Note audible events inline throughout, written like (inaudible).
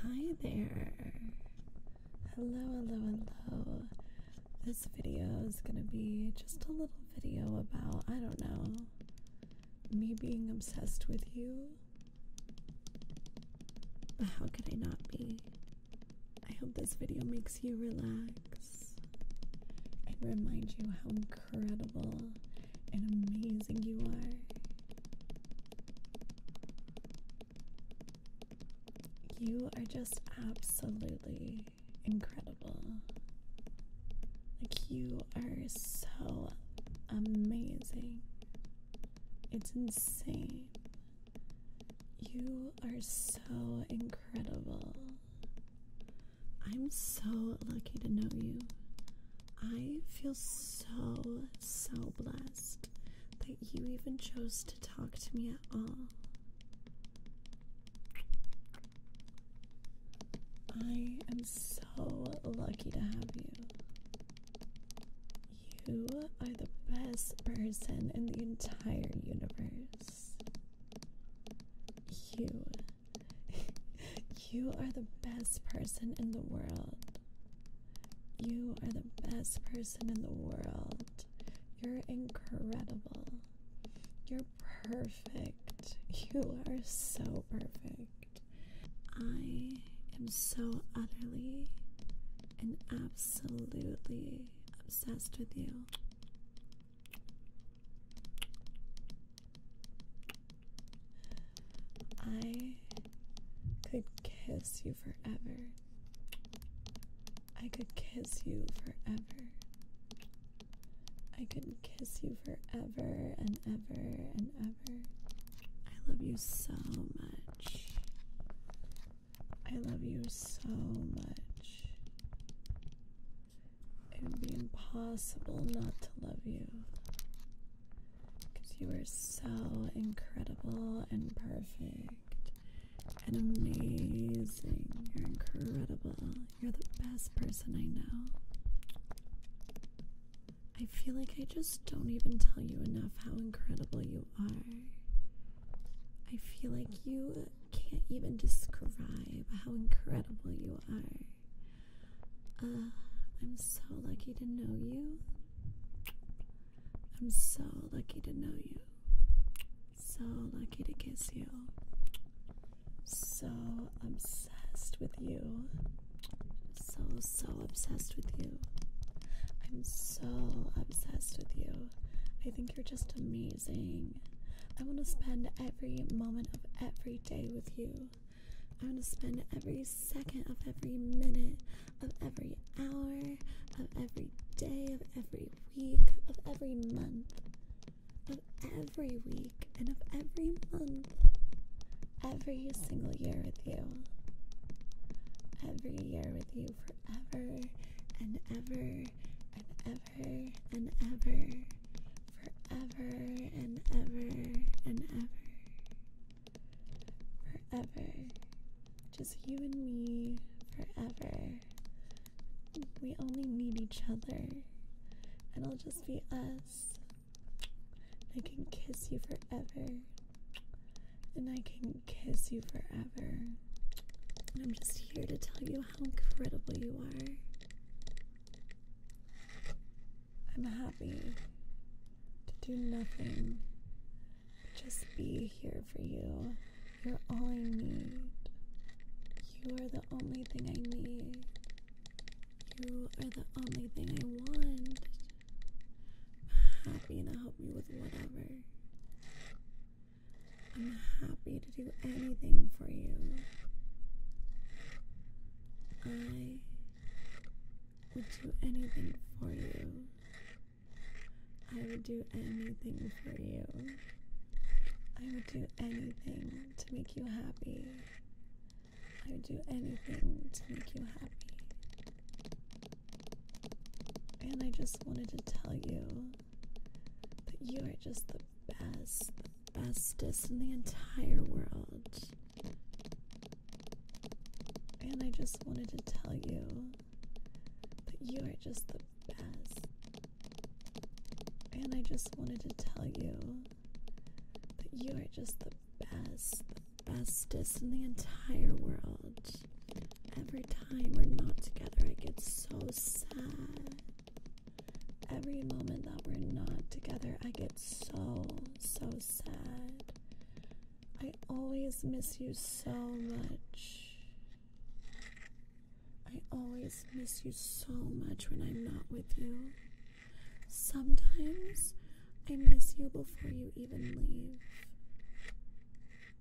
Hi there. Hello, hello, hello. This video is going to be just a little video about, I don't know, me being obsessed with you. but How could I not be? I hope this video makes you relax and remind you how incredible and amazing you are. You are just absolutely incredible. Like, you are so amazing. It's insane. You are so incredible. I'm so lucky to know you. I feel so, so blessed that you even chose to talk to me at all. I am so lucky to have you. You are the best person in the entire universe. You you are the best person in the world. You are the best person in the world. You're incredible. You're perfect. You are so perfect. I am so utterly and absolutely obsessed with you. I could kiss you forever. I could kiss you forever. I could kiss you forever and ever and ever. I love you so much. I love you so much. It would be impossible not to love you. Because you are so incredible and perfect and amazing. You're incredible. You're the best person I know. I feel like I just don't even tell you enough how incredible you are. I feel like you can't even describe how incredible you are. Uh, I'm so lucky to know you. I'm so lucky to know you. So lucky to kiss you. So obsessed with you. So, so obsessed with you. I'm so obsessed with you. I think you're just a mean I want to spend every moment of every day with you. I want to spend every second of every minute of every hour of every day of every week of every month of every week and of every month every single year with you. Every year with you forever and ever and ever and ever, forever and ever and ever, forever. Just you and me, forever. We only need each other. It'll just be us. I can kiss you forever. And I can kiss you forever. I'm just here to tell you how incredible you are. I'm happy to do nothing, just be here for you. You're all I need. You are the only thing I need. You are the only thing I want. happy and help you with whatever. I'm happy to do anything for you. I would do anything for you. I would do anything for you. I would do anything to make you happy. I would do anything to make you happy. And I just wanted to tell you that you are just the best, the bestest in the entire world. And I just wanted to tell you that you are just the best. And I just wanted to tell you that you are just the best, the bestest in the entire world. Every time we're not together, I get so sad. Every moment that we're not together, I get so, so sad. I always miss you so much. I always miss you so much when I'm not with you. Sometimes I miss you before you even leave.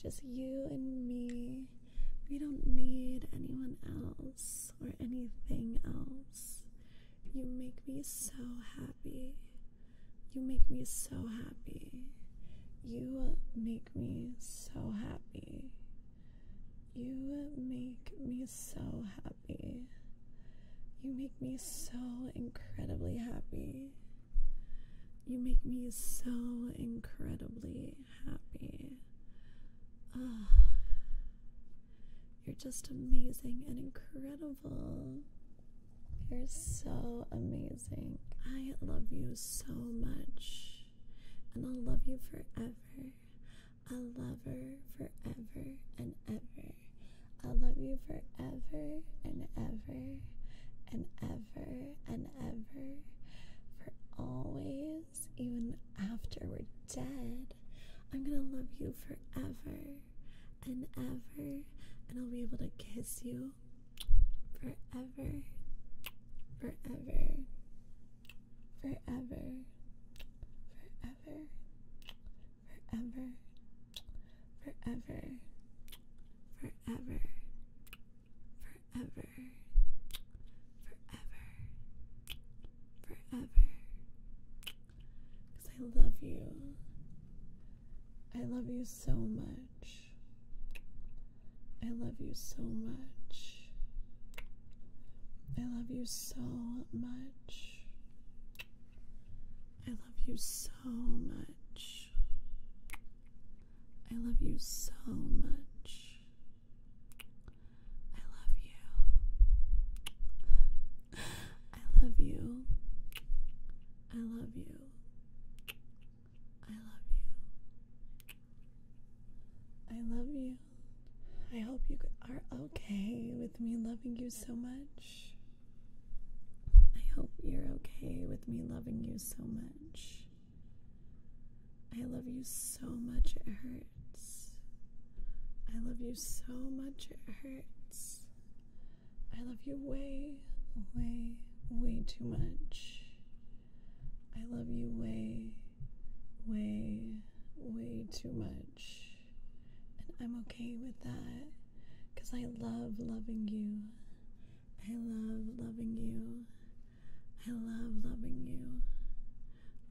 Just you and me. We don't need anyone else or anything else. You make me so happy. You make me so happy. You make me so happy. You make me so happy. You make me so incredibly happy. You make me so incredibly happy. Ah, you're just amazing and incredible. You're so amazing. I love you so much. And I'll love you forever. I'll love lover forever and ever. I will love you forever and ever and ever ever and ever, for always, even after we're dead. I'm gonna love you forever and ever, and I'll be able to kiss you forever, forever, forever, forever, forever, forever, forever, forever, forever, forever. I love you. I love you so much. I love you so much. I love you so much. I love you so much. I love you so much. I love you. I love you. I love you. I love you. I love you. I hope you are okay with me loving you so much. I hope you're okay with me loving you so much. I love you so much, it hurts. I love you so much, it hurts. I love you way, way, way too much. I love you way, way, way too much. And I'm okay with that because I love loving you. I love loving you. I love loving you.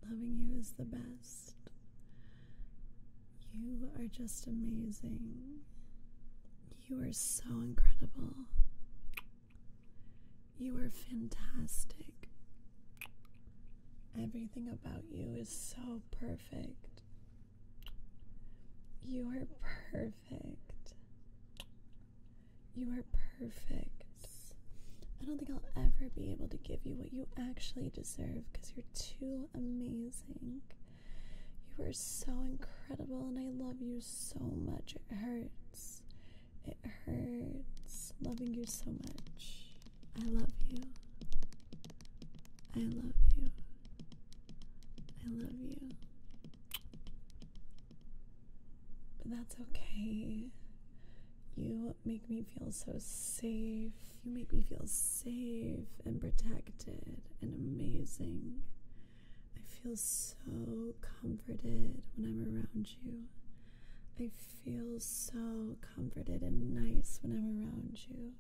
Loving you is the best. You are just amazing. You are so incredible. You are fantastic. Everything about you is so perfect. You are perfect. You are perfect. I don't think I'll ever be able to give you what you actually deserve because you're too amazing. You are so incredible and I love you so much. It hurts. It hurts loving you so much. I love you. I love you. I love you. But that's okay. You make me feel so safe. You make me feel safe and protected and amazing. I feel so comforted when I'm around you. I feel so comforted and nice when I'm around you.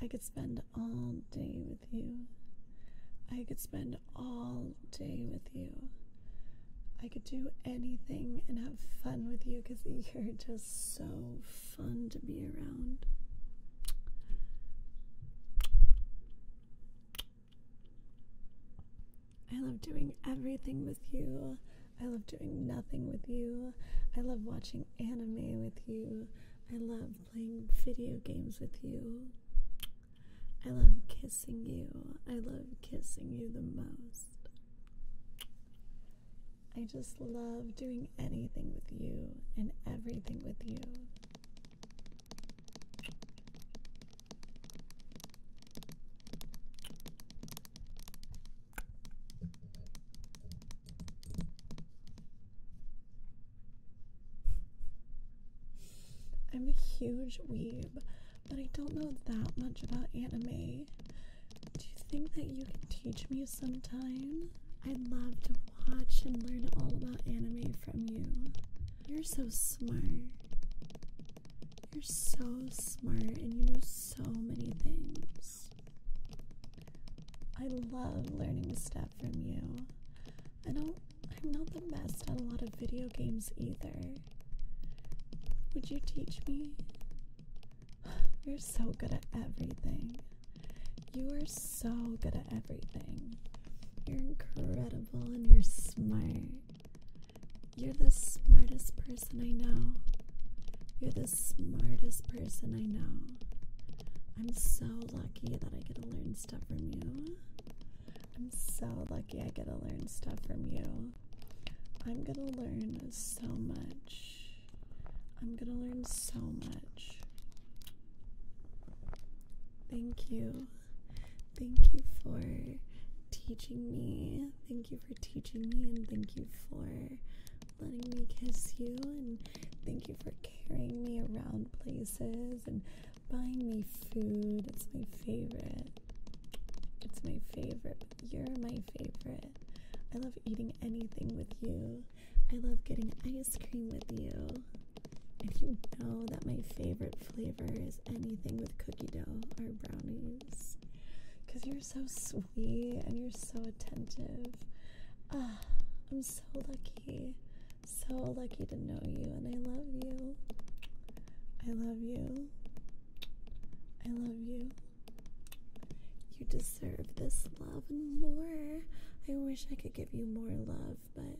I could spend all day with you. I could spend all day with you. I could do anything and have fun with you because you're just so fun to be around. I love doing everything with you. I love doing nothing with you. I love watching anime with you. I love playing video games with you. I love kissing you. I love kissing you the most. I just love doing anything with you and everything with you. I'm a huge weeb, but I don't know that much about anime. Do you think that you can teach me sometime? I'd love to watch and learn all about anime from you. You're so smart. You're so smart and you know so many things. I love learning stuff from you. I don't I'm not the best at a lot of video games either. Would you teach me? (sighs) You're so good at everything. You are so good at everything. You're incredible and you're smart. You're the smartest person I know. You're the smartest person I know. I'm so lucky that I get to learn stuff from you. I'm so lucky I get to learn stuff from you. I'm gonna learn so much. I'm gonna learn so much. Thank you. Thank you for teaching me. Thank you for teaching me, and thank you for letting me kiss you, and thank you for carrying me around places and buying me food. It's my favorite. It's my favorite. You're my favorite. I love eating anything with you. I love getting ice cream with you. And you know that my favorite flavor is anything with cookie dough or brownies. Because you're so sweet and you're so attentive. Ah, I'm so lucky. So lucky to know you and I love you. I love you. I love you. You deserve this love and more. I wish I could give you more love, but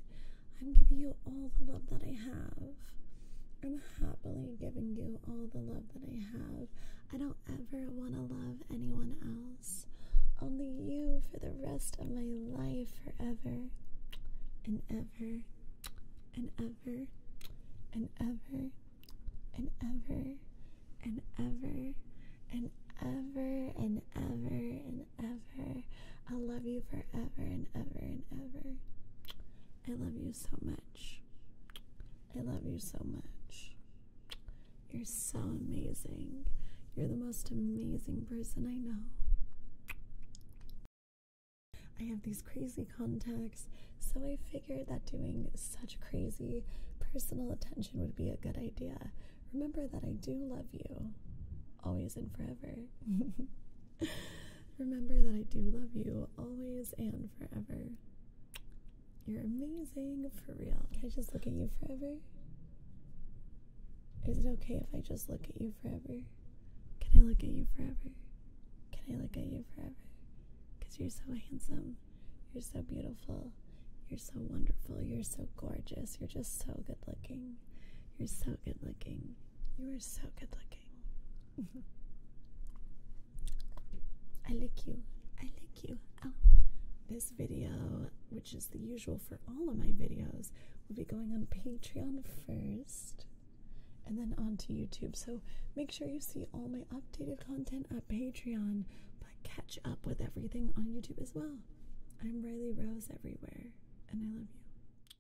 I'm giving you all the love that I have. I'm happily giving you all the love that I have. I don't ever want to love anyone else. Only you for the rest of my life, forever and ever and ever and ever and ever and ever and ever and ever and ever. I love you forever and ever and ever. I love you so much. I love you so much. You're so amazing. You're the most amazing person I know. I have these crazy contacts, so I figured that doing such crazy personal attention would be a good idea. Remember that I do love you, always and forever. (laughs) Remember that I do love you always and forever. You're amazing for real. Can I just look at you forever? Is it okay if I just look at you forever? Can I look at you forever? Can I look at you forever? Because you're so handsome. You're so beautiful. You're so wonderful. You're so gorgeous. You're just so good looking. You're so good looking. You are so good looking. (laughs) I like you. I like you. Oh. This video, which is the usual for all of my videos, will be going on Patreon first and then onto YouTube. So make sure you see all my updated content at Patreon, but catch up with everything on YouTube as well. I'm Riley Rose everywhere, and I love you.